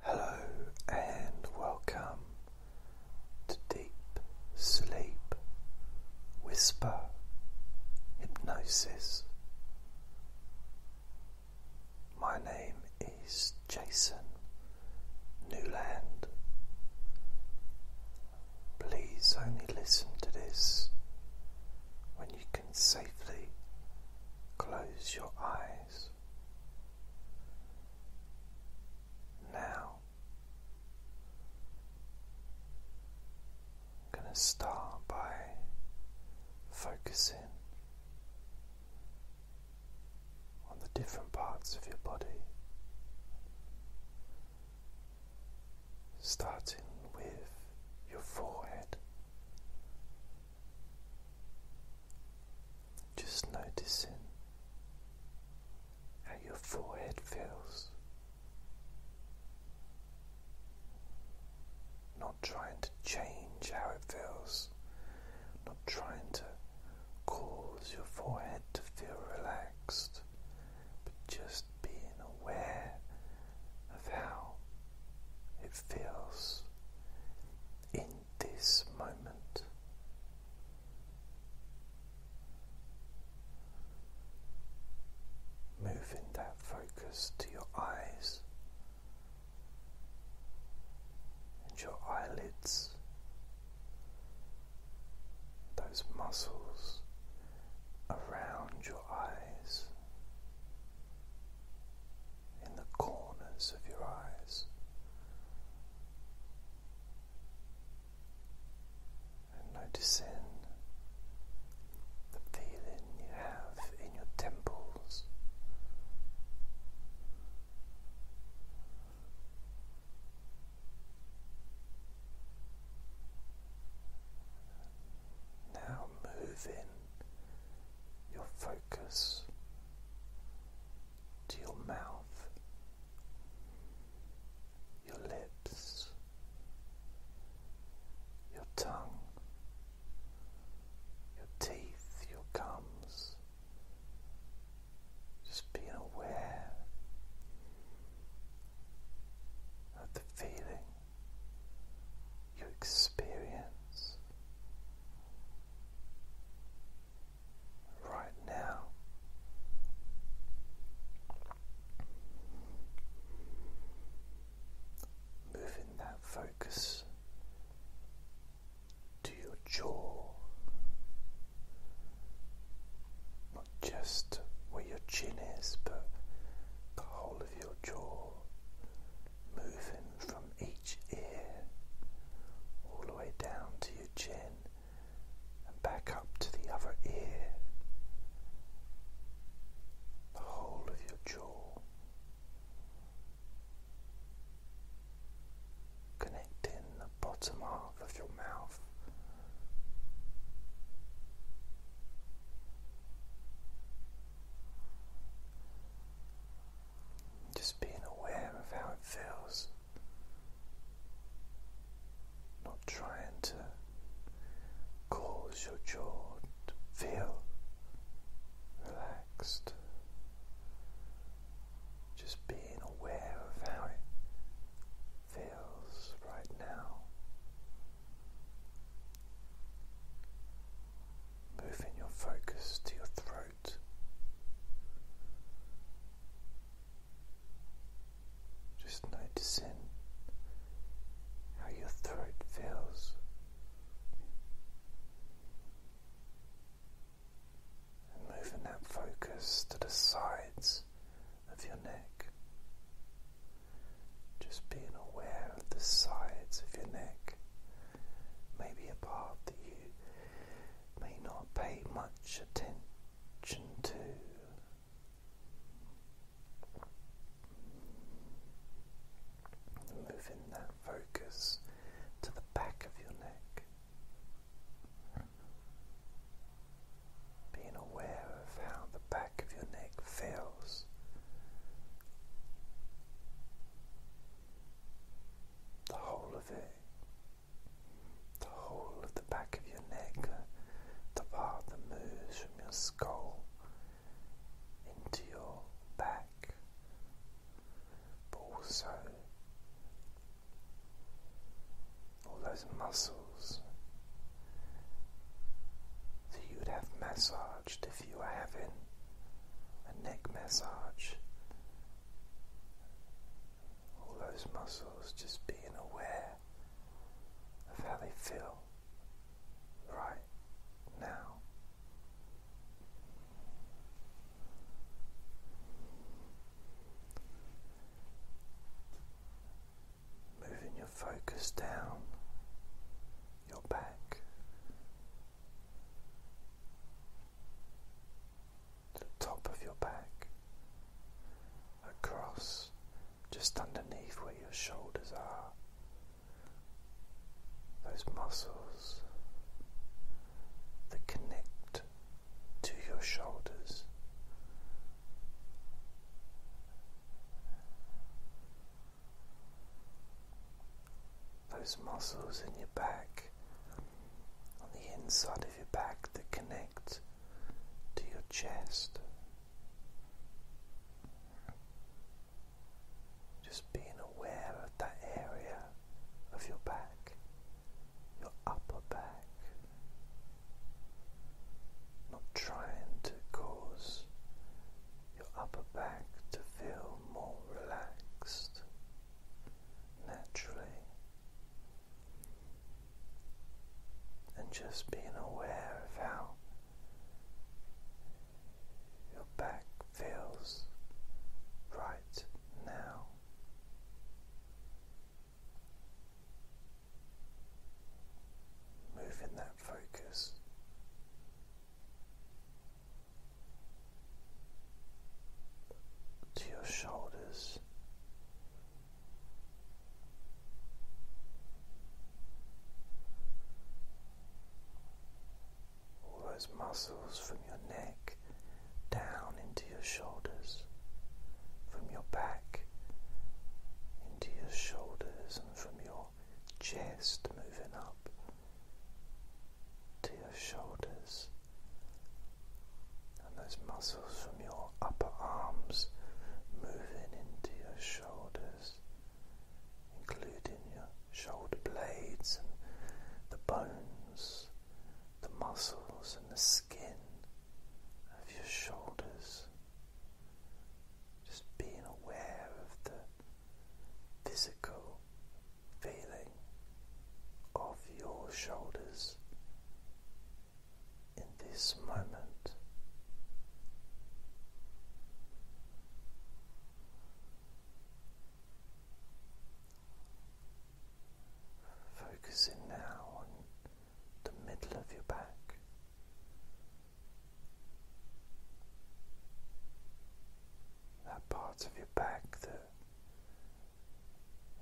Hello and welcome to Deep Sleep Whisper Hypnosis. My name is Jason Newland. Please only listen to this when you can safely close your eyes. Now, I'm going to start by focusing on the different parts of your body, starting with your forehead. Just noticing how your forehead feels, not trying to change how it feels, not trying to cause your forehead to feel relaxed, but just being aware of how it feels in this moment. Moving that focus to your eyes and your eyelids, those muscles around your eyes, in the corners of your eyes. And noticing the feeling you have in your temples. Now move in your focus to your mouth, your lips, your tongue, your teeth, your gums. Just be aware of the feeling you experience right now. Moving that focus to your jaw, not just where your chin is, but the whole of your jaw, moving from each ear all the way down to your chin and back up to the other ear, the whole of your jaw, connecting the bottom half of your mouth. Just being aware of how it feels, not trying to cause your jaw to feel relaxed. Just being aware of how it feels right now. Moving your focus to your throat. Just notice in how your throat feels. And moving that focus to the sides of your neck. Just being aware of the sides of your neck maybe a part that you may not pay much attention to. Moving that focus to the back of your neck, being aware of how the back of your neck feels the whole of it, the whole of the back of your neck, the part that moves from your skull into your back, but also all those muscles that you would have massaged if you were having a neck massage. All those muscles just being aware of how they feel right now. Moving your focus down your back the top of your back, across just underneath where your shoulders are. Those muscles that connect to your shoulders those muscles in your back, on the inside of your back, that connect to your chest. Just being aware of that area of your back, your upper back, not trying to cause your upper back to feel more relaxed naturally, and just being aware of how your back feels right now. Move in that focus to your shoulders. All those muscles from your neck down into your shoulders, from your back into your shoulders, and from your chest moving up to your shoulders and those muscles from your upper arms moving into your shoulders, including your shoulder blades and the bones, the muscles and the skin of your shoulders. Just being aware of the physical feeling of your shoulders in this moment. Focusing now on the middle of your back, that part of your back that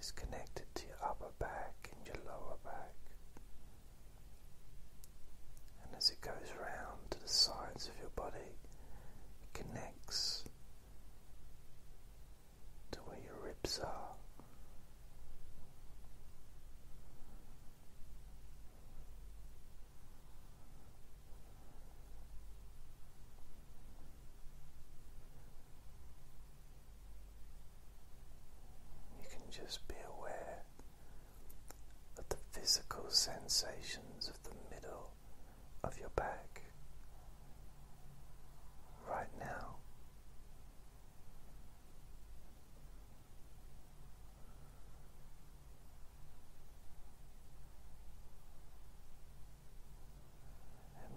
is connected to your upper back and your lower back. And as it goes round to the sides of your body, it connects to where your ribs are. You can just be aware of the physical sensations of the middle of your back right now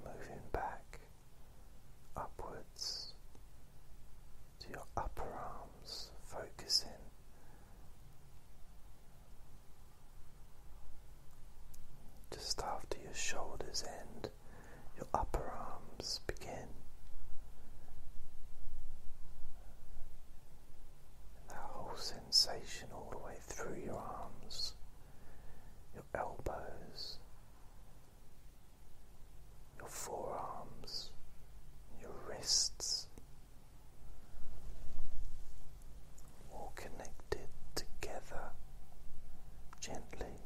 moving back upwards to your upper arms, focusing just after your shoulders end, your upper arms begin. That whole sensation all the way through your arms, your elbows, your forearms, your wrists, all connected together gently.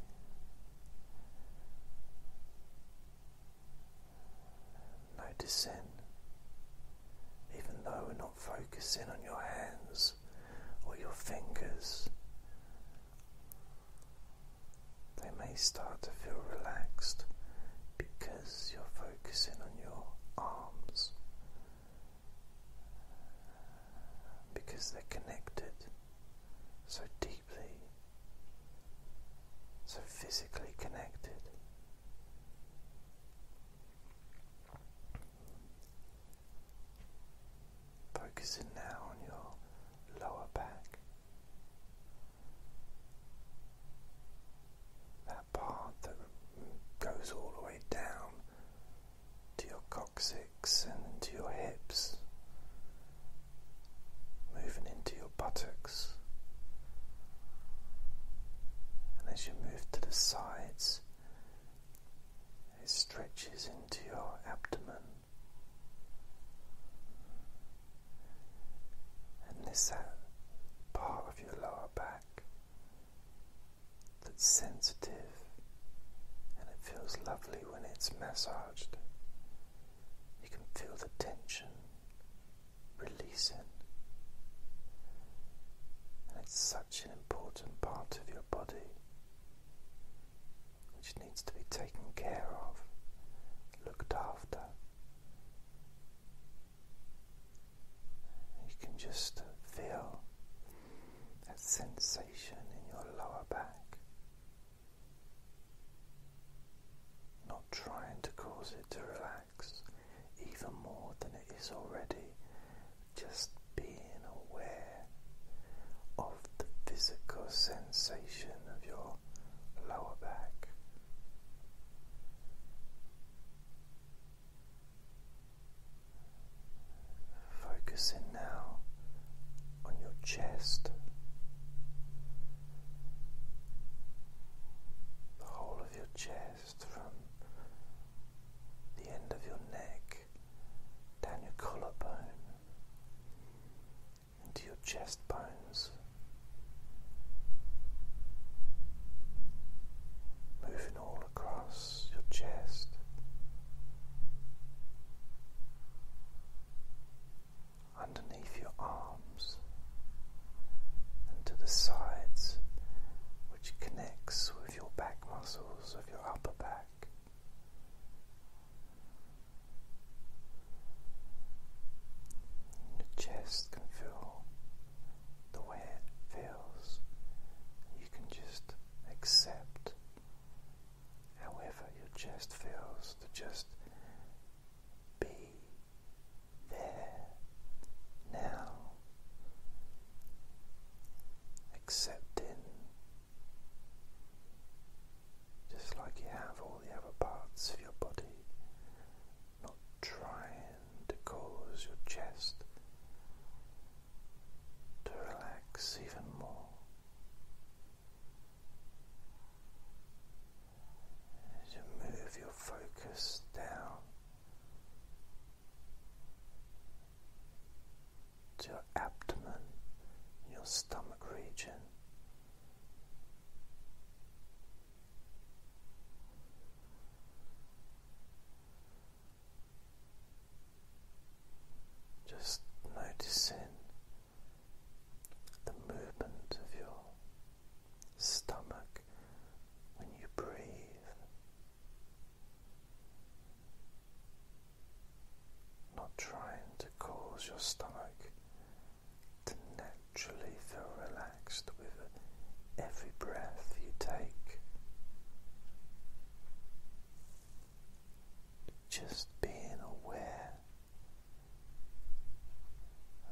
Noticing, even though we're not focusing on your hands or your fingers, they may start to feel relaxed because you're focusing on your arms, because they're connected so deeply, so physically connected. Focusing now on your lower back, that part that goes all the way down to your coccyx and to your hips, moving into your your buttocks. And as you move to the sides, it stretches into your abdomen. And this part of your lower back that's sensitive and it feels lovely when it's massaged. You can feel the tension releasing. And it's such an important part of your body which needs to be taken care of, looked after. You can just feel that sensation in your lower back not trying to cause it to relax even more than it is already, just being aware of the physical sensation of your lower back. Focusing now on your chest, the whole of your chest from the end of your neck down your collarbone into your chest bones. Moving all across your chest, underneath your arms and to the sides, which connects with your back muscles of your upper back. Your chest can feel the way it feels. You can just accept however your chest feels to just be there now, accepting just like you have all the other parts of your body, not trying to cause your chest to relax even more as move your focus down to your abdomen, your stomach region. Just noticing the movement of your stomach when you breathe. Not trying to cause your stomach to naturally feel relaxed with every breath you take. Just being aware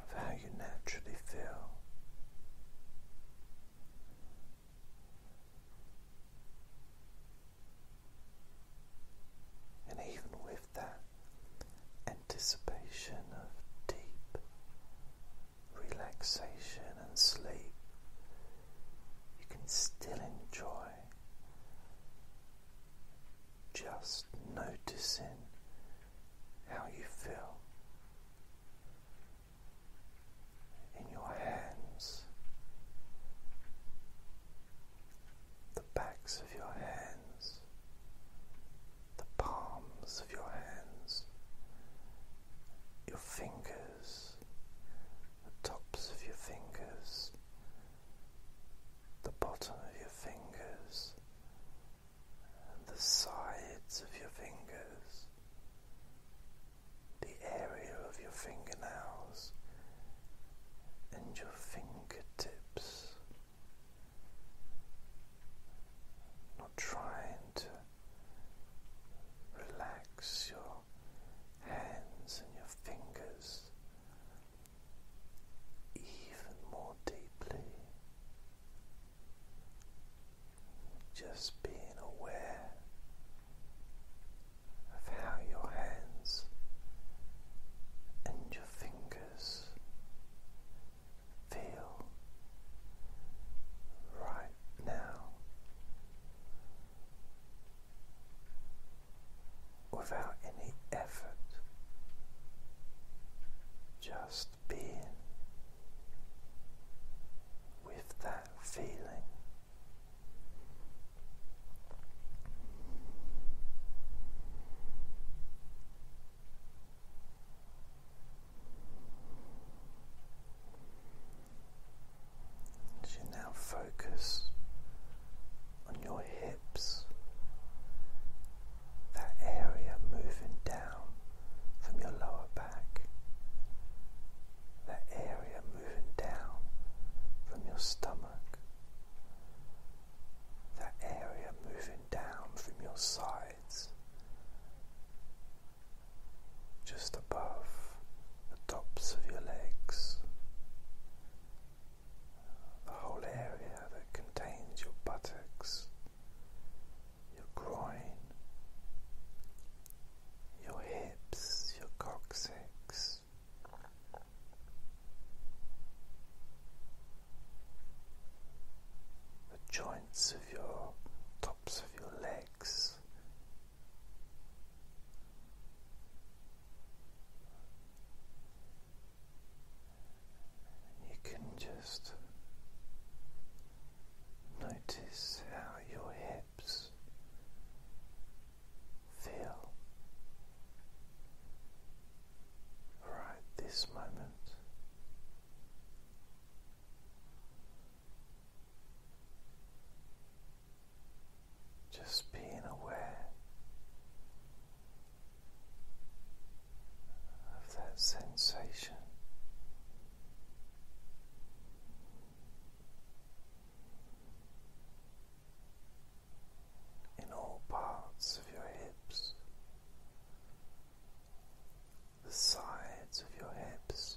of how you naturally feel. And even with that anticipation of deep relaxation and sleep, you can still enjoy just noticing how you feel in your hands, the backs of your hands, the palms of your hands, your fingers, the tops of your fingers the bottom of your fingers and the sides of your fingers, the area of your fingernails and your fingertips. Not trying to relax your hands and your fingers even more deeply, just being aware of how your hands and your fingers feel right now without any effort, just being with that feeling. As now focus on your hips, that area moving down from your lower back, that area moving down from your stomach, that area moving down from your sides, just above the tops of your legs the whole area that contains your buttocks, your groin, your hips, your coccyx. The joints of your tops of your legs, you can just notice how your hips feel right this moment. Just being aware of that sensation. In all parts of your hips, the sides of your hips,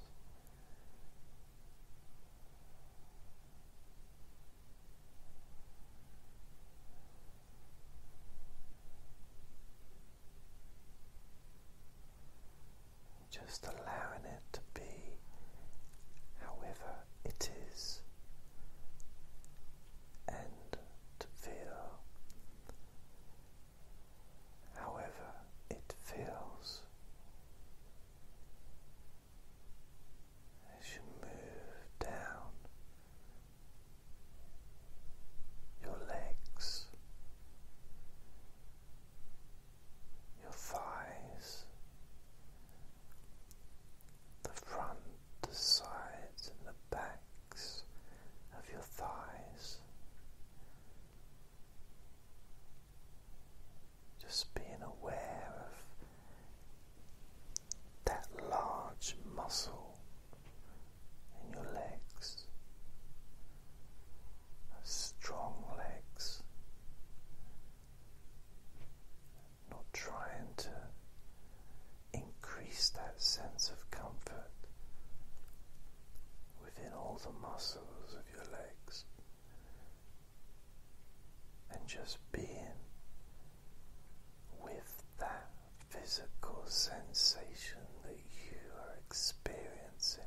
just allowing it to be however it is and to feel however it feels as you move down your legs, your thighs, the front, the sides, and the backs of your thighs. Just being aware of that large muscle in your legs, strong legs, not trying to increase that sense of comfort within all the muscles of your legs. And just being with that physical sensation that you are experiencing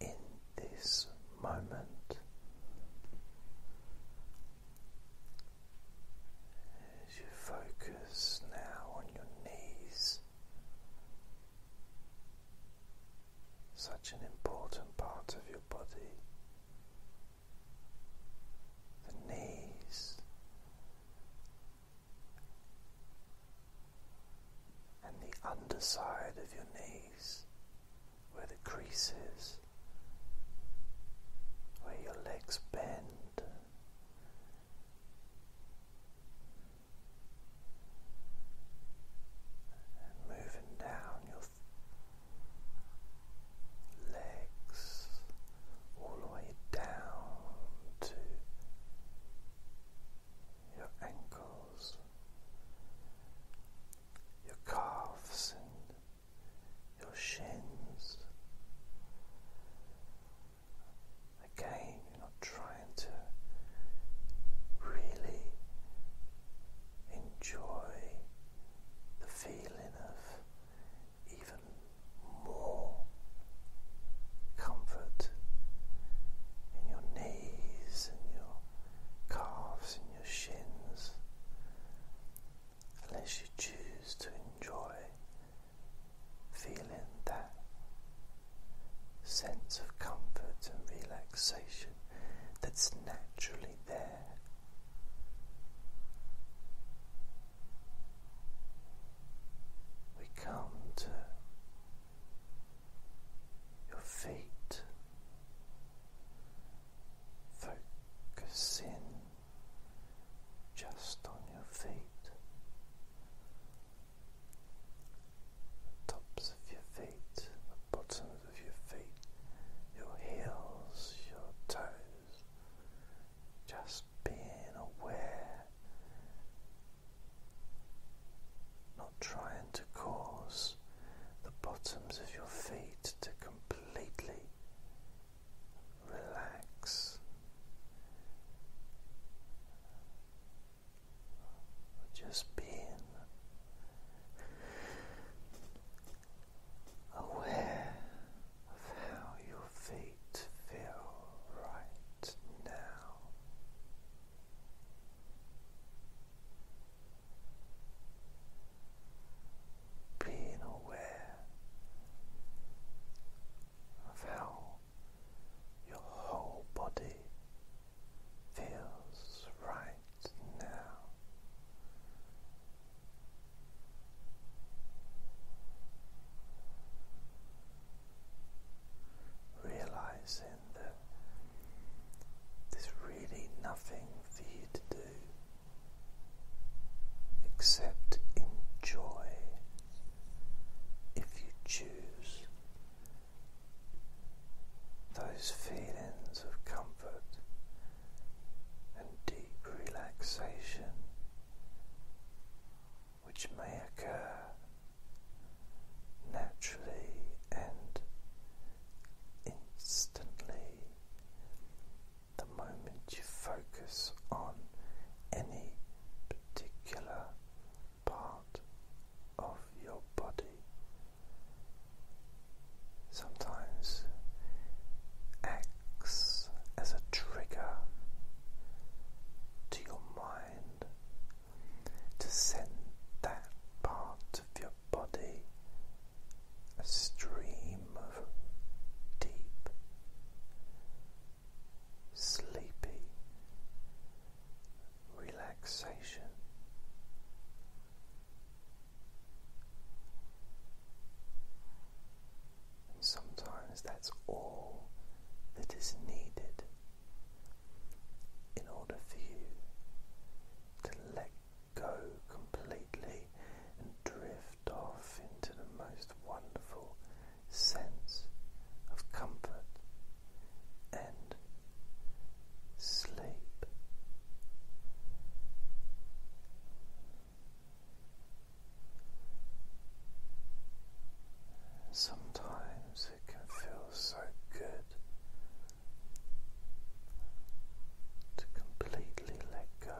in this moment. As you focus now on your knees, such an important part of your body the knees, and the underside of your knees, where the crease is, where your legs bend. And moving down your legs all the way down to your ankles, your calves, and your shins. Again, you're not trying to really enjoy the feeling of even more comfort in your knees and your calves and your shins, unless you choose to enjoy feeling that sense of comfort and relaxation that's naturally there. We come to your feet, focus in just on your feet, tops of your feet, bottoms of your feet, your heels, your toes, just being aware, not trying to cause the bottoms of your feet to completely relax. Just being aware of how your feet feel right now. Being aware of how your whole body feels right now. Realizing that there's really nothing for you to do except enjoy if you choose those feelings of comfort and deep relaxation which may occur naturally and instantly the moment you focus on any particular part of your body sometimes acts as a trigger to your mind to send that part of your body a stream of deep, sleepy relaxation sometimes that's all that is needed in order for you to let go completely and drift off into the most wonderful sense of comfort and sleep. Sometimes it can feel so good to completely let go.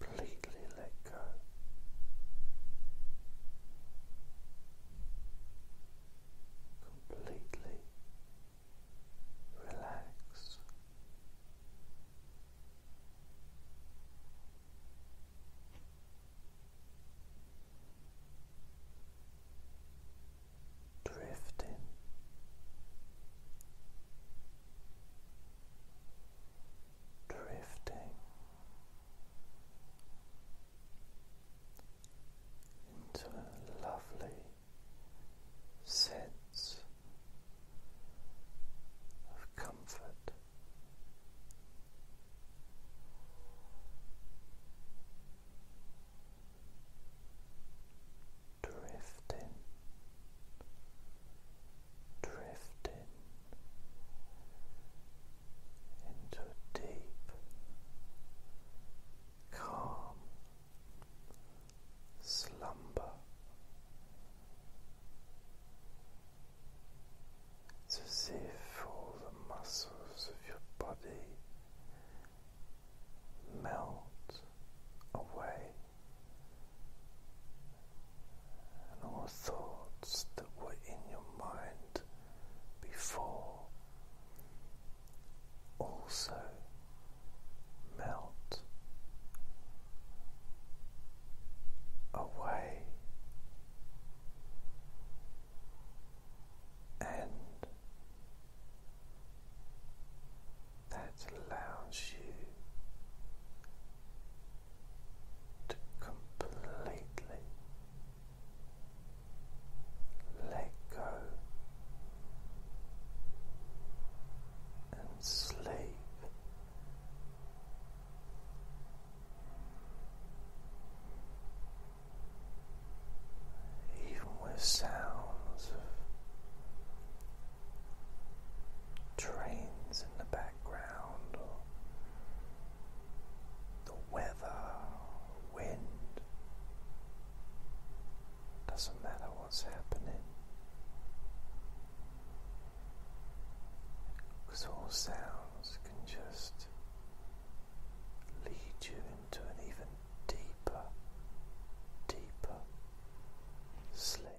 Completely let go completely relax. Drifting drifting into a lovely sense of comfort. Drifting, drifting into deep, calm slumber. It's as all the muscles of your body melt away and all thoughts that were in your mind before also melt away and that allows you to completely let go and sleep. Even with sounds of trains in the background the weather, wind, doesn't matter what's happening. Because all sounds can just lead you into an even deeper, deeper sleep.